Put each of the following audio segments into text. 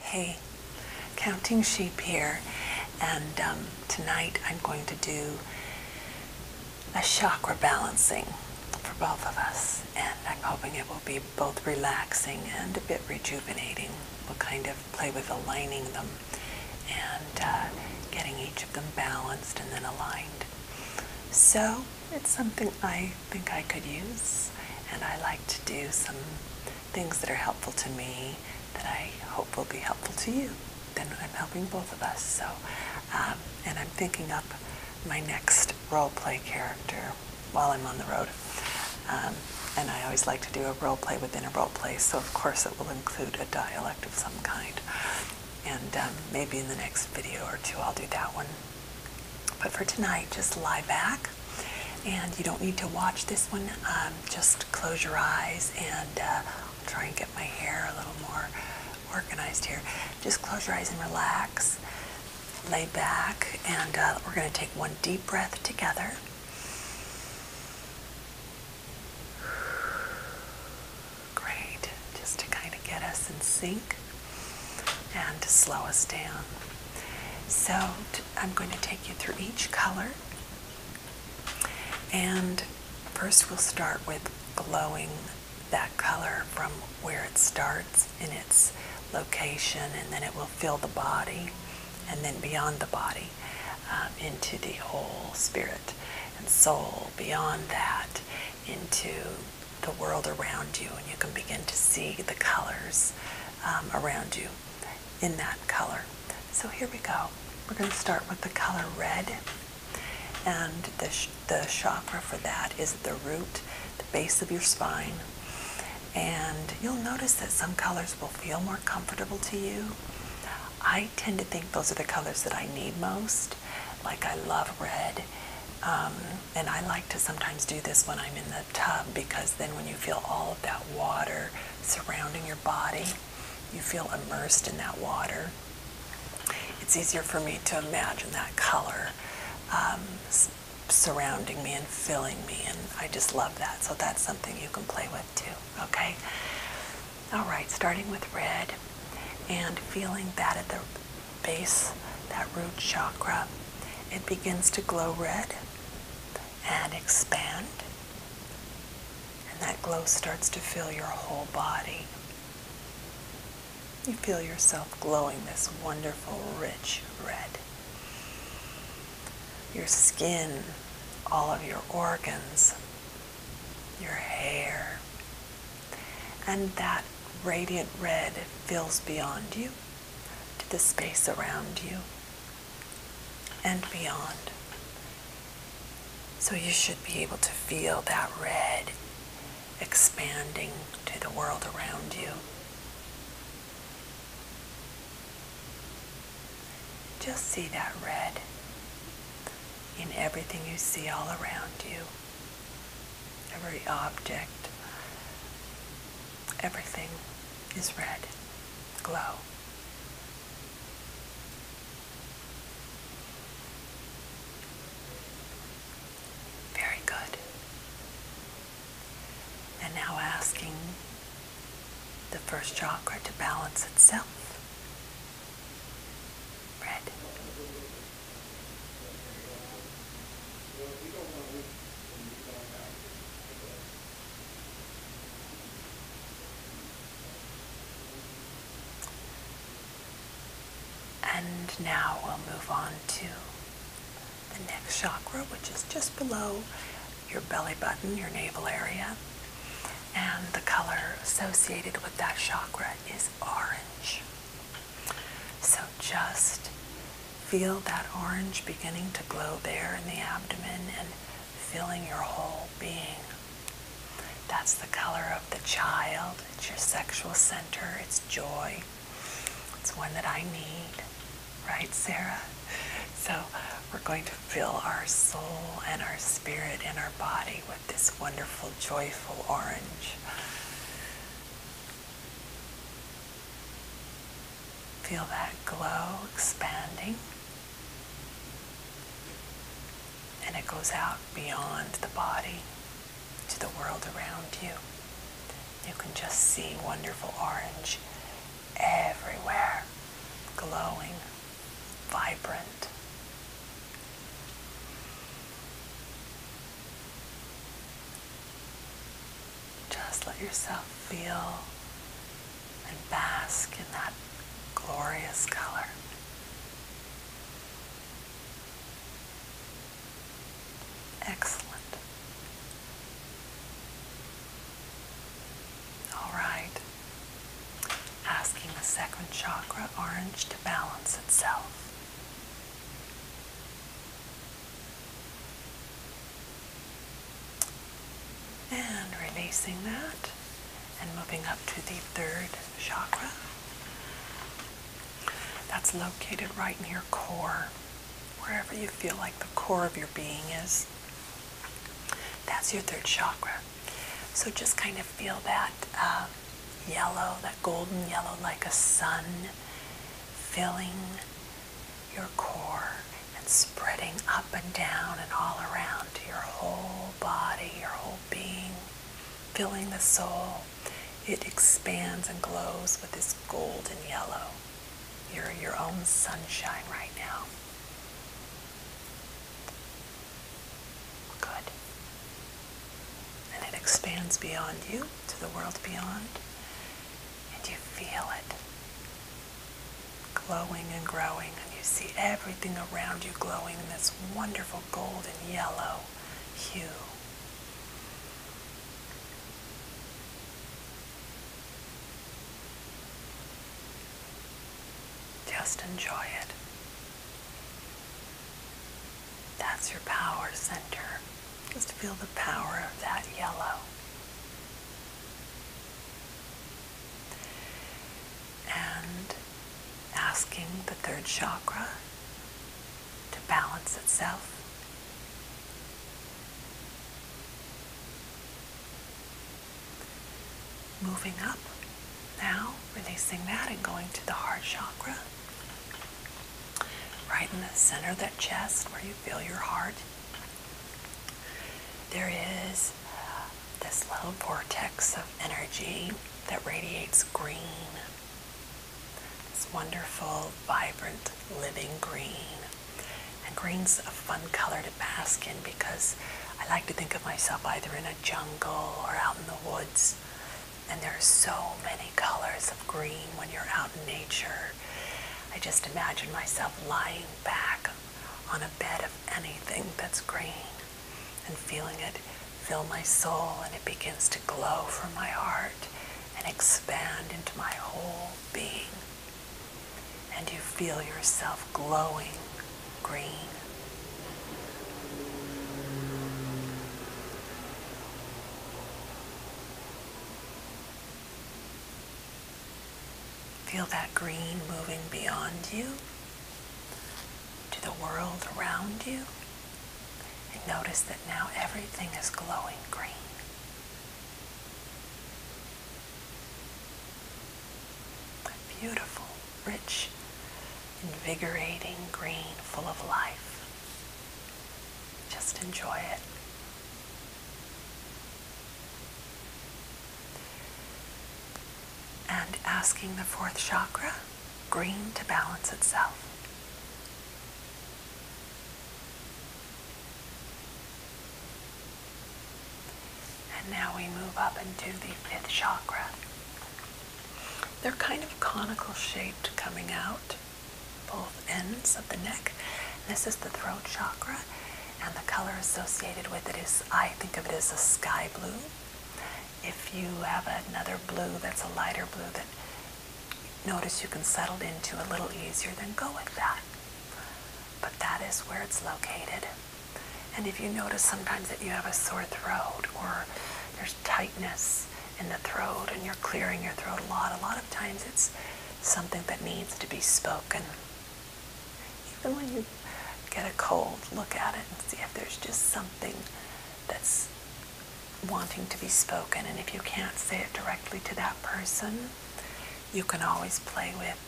Hey, Counting Sheep here, and um, tonight I'm going to do a chakra balancing for both of us, and I'm hoping it will be both relaxing and a bit rejuvenating. We'll kind of play with aligning them and uh, getting each of them balanced and then aligned. So it's something I think I could use. And I like to do some things that are helpful to me that I hope will be helpful to you. Then I'm helping both of us. So, um, and I'm thinking up my next role play character while I'm on the road. Um, and I always like to do a role play within a role play, so of course it will include a dialect of some kind. And um, maybe in the next video or two I'll do that one but for tonight, just lie back and you don't need to watch this one. Um, just close your eyes and uh, try and get my hair a little more organized here. Just close your eyes and relax. Lay back and uh, we're going to take one deep breath together. Great. Just to kind of get us in sync and to slow us down. So I'm going to take you through each color. And first we'll start with glowing that color from where it starts in its location and then it will fill the body and then beyond the body um, into the whole spirit and soul beyond that into the world around you and you can begin to see the colors um, around you in that color. So here we go. We're going to start with the color red and the, the chakra for that is the root, the base of your spine. And you'll notice that some colors will feel more comfortable to you. I tend to think those are the colors that I need most. Like I love red. Um, and I like to sometimes do this when I'm in the tub because then when you feel all of that water surrounding your body, you feel immersed in that water. It's easier for me to imagine that color um, surrounding me and filling me, and I just love that. So that's something you can play with too, okay? All right, starting with red and feeling that at the base, that root chakra, it begins to glow red and expand. And that glow starts to fill your whole body. You feel yourself glowing this wonderful, rich red. Your skin, all of your organs, your hair, and that radiant red fills beyond you to the space around you and beyond. So you should be able to feel that red expanding to the world around you. Just see that red in everything you see all around you every object, everything is red, glow. Very good. And now asking the first chakra to balance itself. Red. And now we'll move on to the next chakra, which is just below your belly button, your navel area. And the color associated with that chakra is orange. So just feel that orange beginning to glow there in the abdomen and filling your whole being. That's the color of the child. It's your sexual center. It's joy. It's one that I need. Right, Sarah? So we're going to fill our soul and our spirit and our body with this wonderful, joyful orange. Feel that glow expanding. And it goes out beyond the body to the world around you. You can just see wonderful orange everywhere, glowing, vibrant. Just let yourself feel and bask in that glorious color. Excellent. All right. Asking the second chakra, orange, to balance itself. And releasing that and moving up to the third chakra. That's located right near your core, wherever you feel like the core of your being is. That's your third chakra. So just kind of feel that uh, yellow, that golden yellow, like a sun, filling your core and spreading up and down and all around your whole body, your whole being, filling the soul. It expands and glows with this golden yellow. You're your own sunshine right now. Good and it expands beyond you to the world beyond, and you feel it glowing and growing, and you see everything around you glowing in this wonderful golden yellow hue. Just enjoy it. That's your power center. Just feel the power of that yellow. And asking the third chakra to balance itself. Moving up now, releasing that and going to the heart chakra right in the center of that chest where you feel your heart. There is uh, this little vortex of energy that radiates green. This wonderful, vibrant, living green. And green's a fun color to bask in because I like to think of myself either in a jungle or out in the woods. And there are so many colors of green when you're out in nature. I just imagine myself lying back on a bed of anything that's green and feeling it fill my soul and it begins to glow from my heart and expand into my whole being. And you feel yourself glowing green. Feel that green moving beyond you to the world around you. And notice that now everything is glowing green. A beautiful, rich, invigorating green full of life. Just enjoy it. And asking the fourth chakra, green, to balance itself. And now we move up into the fifth chakra, they're kind of conical shaped coming out both ends of the neck. This is the throat chakra and the color associated with it is, I think of it as a sky blue. If you have another blue that's a lighter blue that notice you can settle into a little easier, then go with that. But that is where it's located. And if you notice sometimes that you have a sore throat or there's tightness, in the throat and you're clearing your throat a lot. A lot of times it's something that needs to be spoken. Even when you get a cold, look at it and see if there's just something that's wanting to be spoken. And if you can't say it directly to that person, you can always play with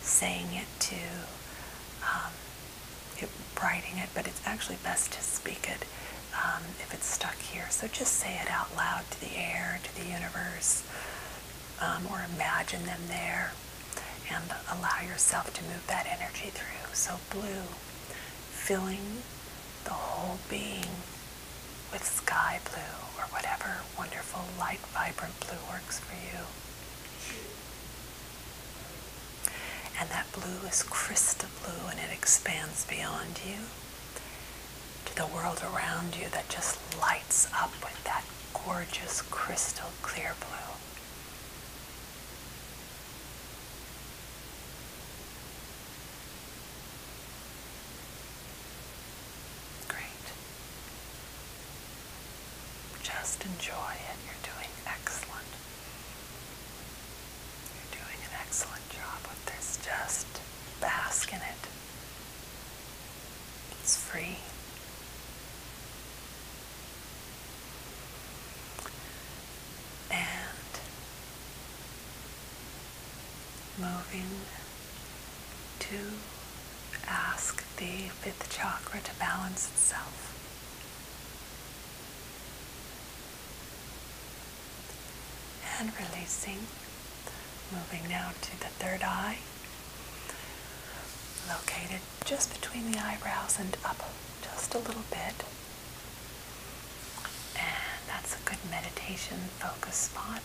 saying it to, um, writing it, but it's actually best to speak it um, if it's stuck here. So just say it out loud to the air, to the universe, um, or imagine them there and allow yourself to move that energy through. So blue, filling the whole being with sky blue or whatever wonderful light, vibrant blue works for you. And that blue is crystal blue and it expands beyond you to the world around you that just lights up with that gorgeous crystal clear blue. Great. Just enjoy it. You're doing excellent. You're doing an excellent job with this. Just bask in it. It's free. And moving to ask the fifth chakra to balance itself and releasing. Moving now to the third eye, located just between the eyebrows and up just a little bit. And that's a good meditation focus spot.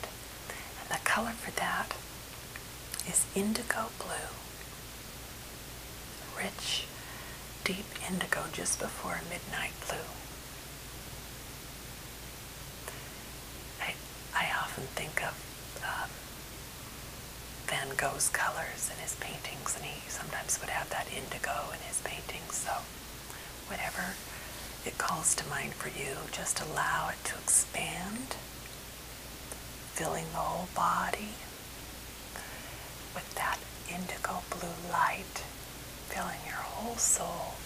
And the color for that is indigo blue rich, deep indigo just before midnight blue. I, I often think of um, Van Gogh's colors in his paintings, and he sometimes would have that indigo in his paintings. So, whatever it calls to mind for you, just allow it to expand, filling the whole body with that indigo blue light filling your whole soul.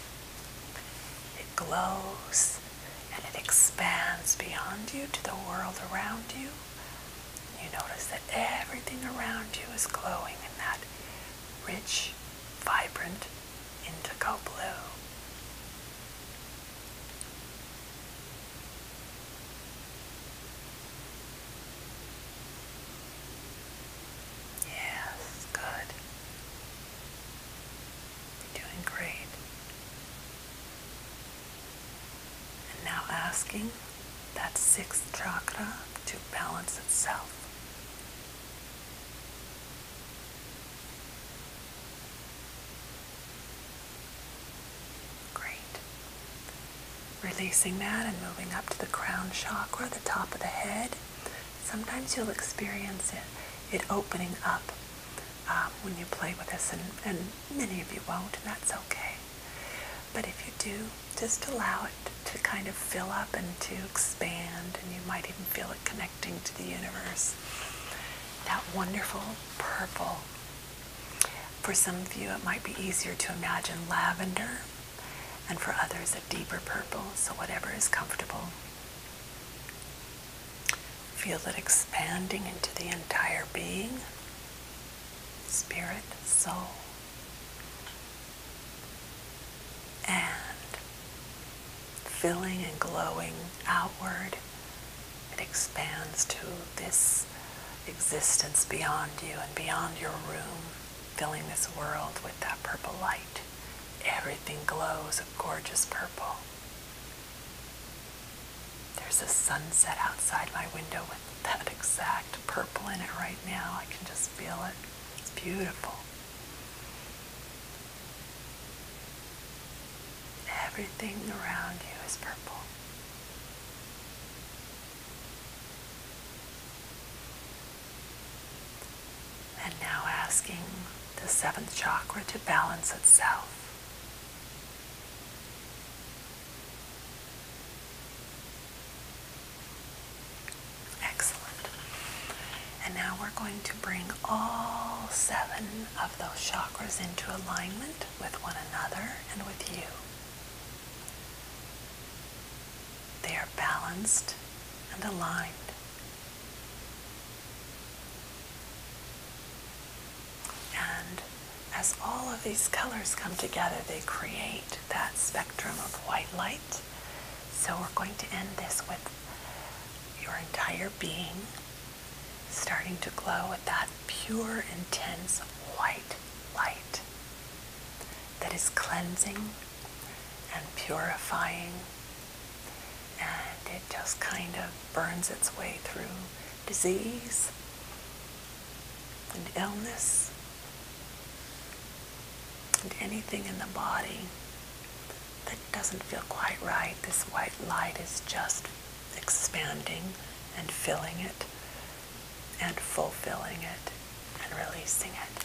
It glows and it expands beyond you to the world around you. You notice that everything around you is glowing in that rich, vibrant indigo blue. Yes, good. You're doing great. And now asking that sixth chakra to balance itself. Great. Releasing that and moving up to the crown chakra, the top of the head. Sometimes you'll experience it, it opening up um, when you play with this, and many of you won't, and that's okay. But if you do, just allow it to kind of fill up and to expand, and you might even feel it connecting to the universe. That wonderful purple. For some of you, it might be easier to imagine lavender and for others a deeper purple, so whatever is comfortable. Feel it expanding into the entire being, spirit, soul, and filling and glowing outward. It expands to this existence beyond you and beyond your room filling this world with that purple light. Everything glows a gorgeous purple. There's a sunset outside my window with that exact purple in it right now. I can just feel it. It's beautiful. Everything around you is purple. And now asking the seventh chakra to balance itself. Excellent. And now we're going to bring all seven of those chakras into alignment with one another and with you. They are balanced and aligned. And as all of these colors come together, they create that spectrum of white light. So we're going to end this with your entire being starting to glow with that pure, intense white light that is cleansing and purifying. And it just kind of burns its way through disease and illness and anything in the body that doesn't feel quite right. This white light is just expanding and filling it and fulfilling it and releasing it.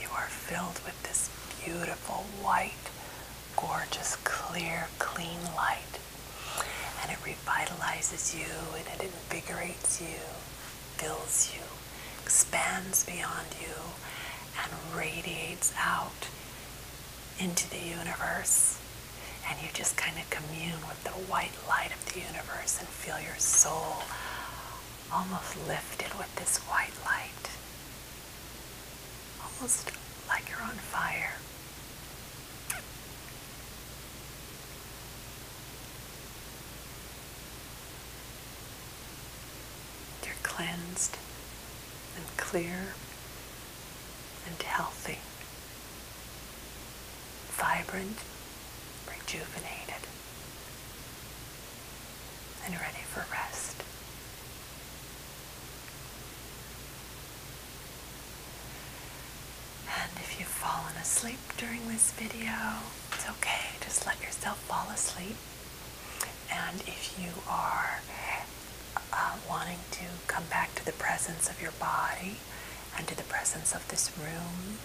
You are filled with this beautiful, white, gorgeous, clear, clean light. And it revitalizes you and it invigorates you, fills you, expands beyond you, and radiates out into the universe and you just kind of commune with the white light of the universe and feel your soul almost lifted with this white light. Almost like you're on fire. You're cleansed and clear and healthy vibrant, rejuvenated, and ready for rest. And if you've fallen asleep during this video, it's okay. Just let yourself fall asleep. And if you are uh, wanting to come back to the presence of your body and to the presence of this room,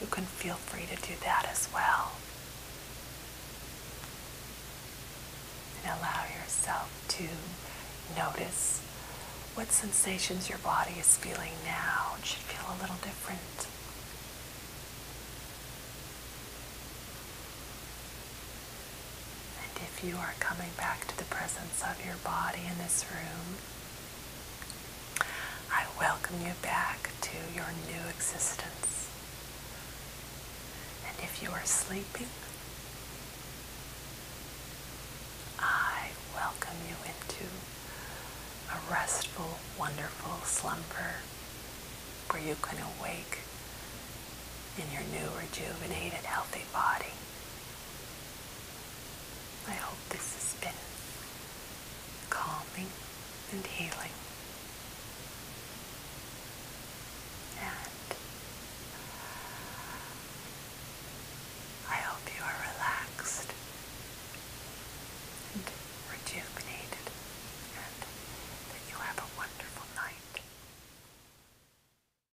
you can feel free to do that as well. And allow yourself to notice what sensations your body is feeling now. It should feel a little different. And if you are coming back to the presence of your body in this room, I welcome you back to your new existence. And if you are sleeping, I welcome you into a restful, wonderful slumber where you can awake in your new rejuvenated healthy body I hope this has been calming and healing. And I hope you are relaxed and rejuvenated and that you have a wonderful night.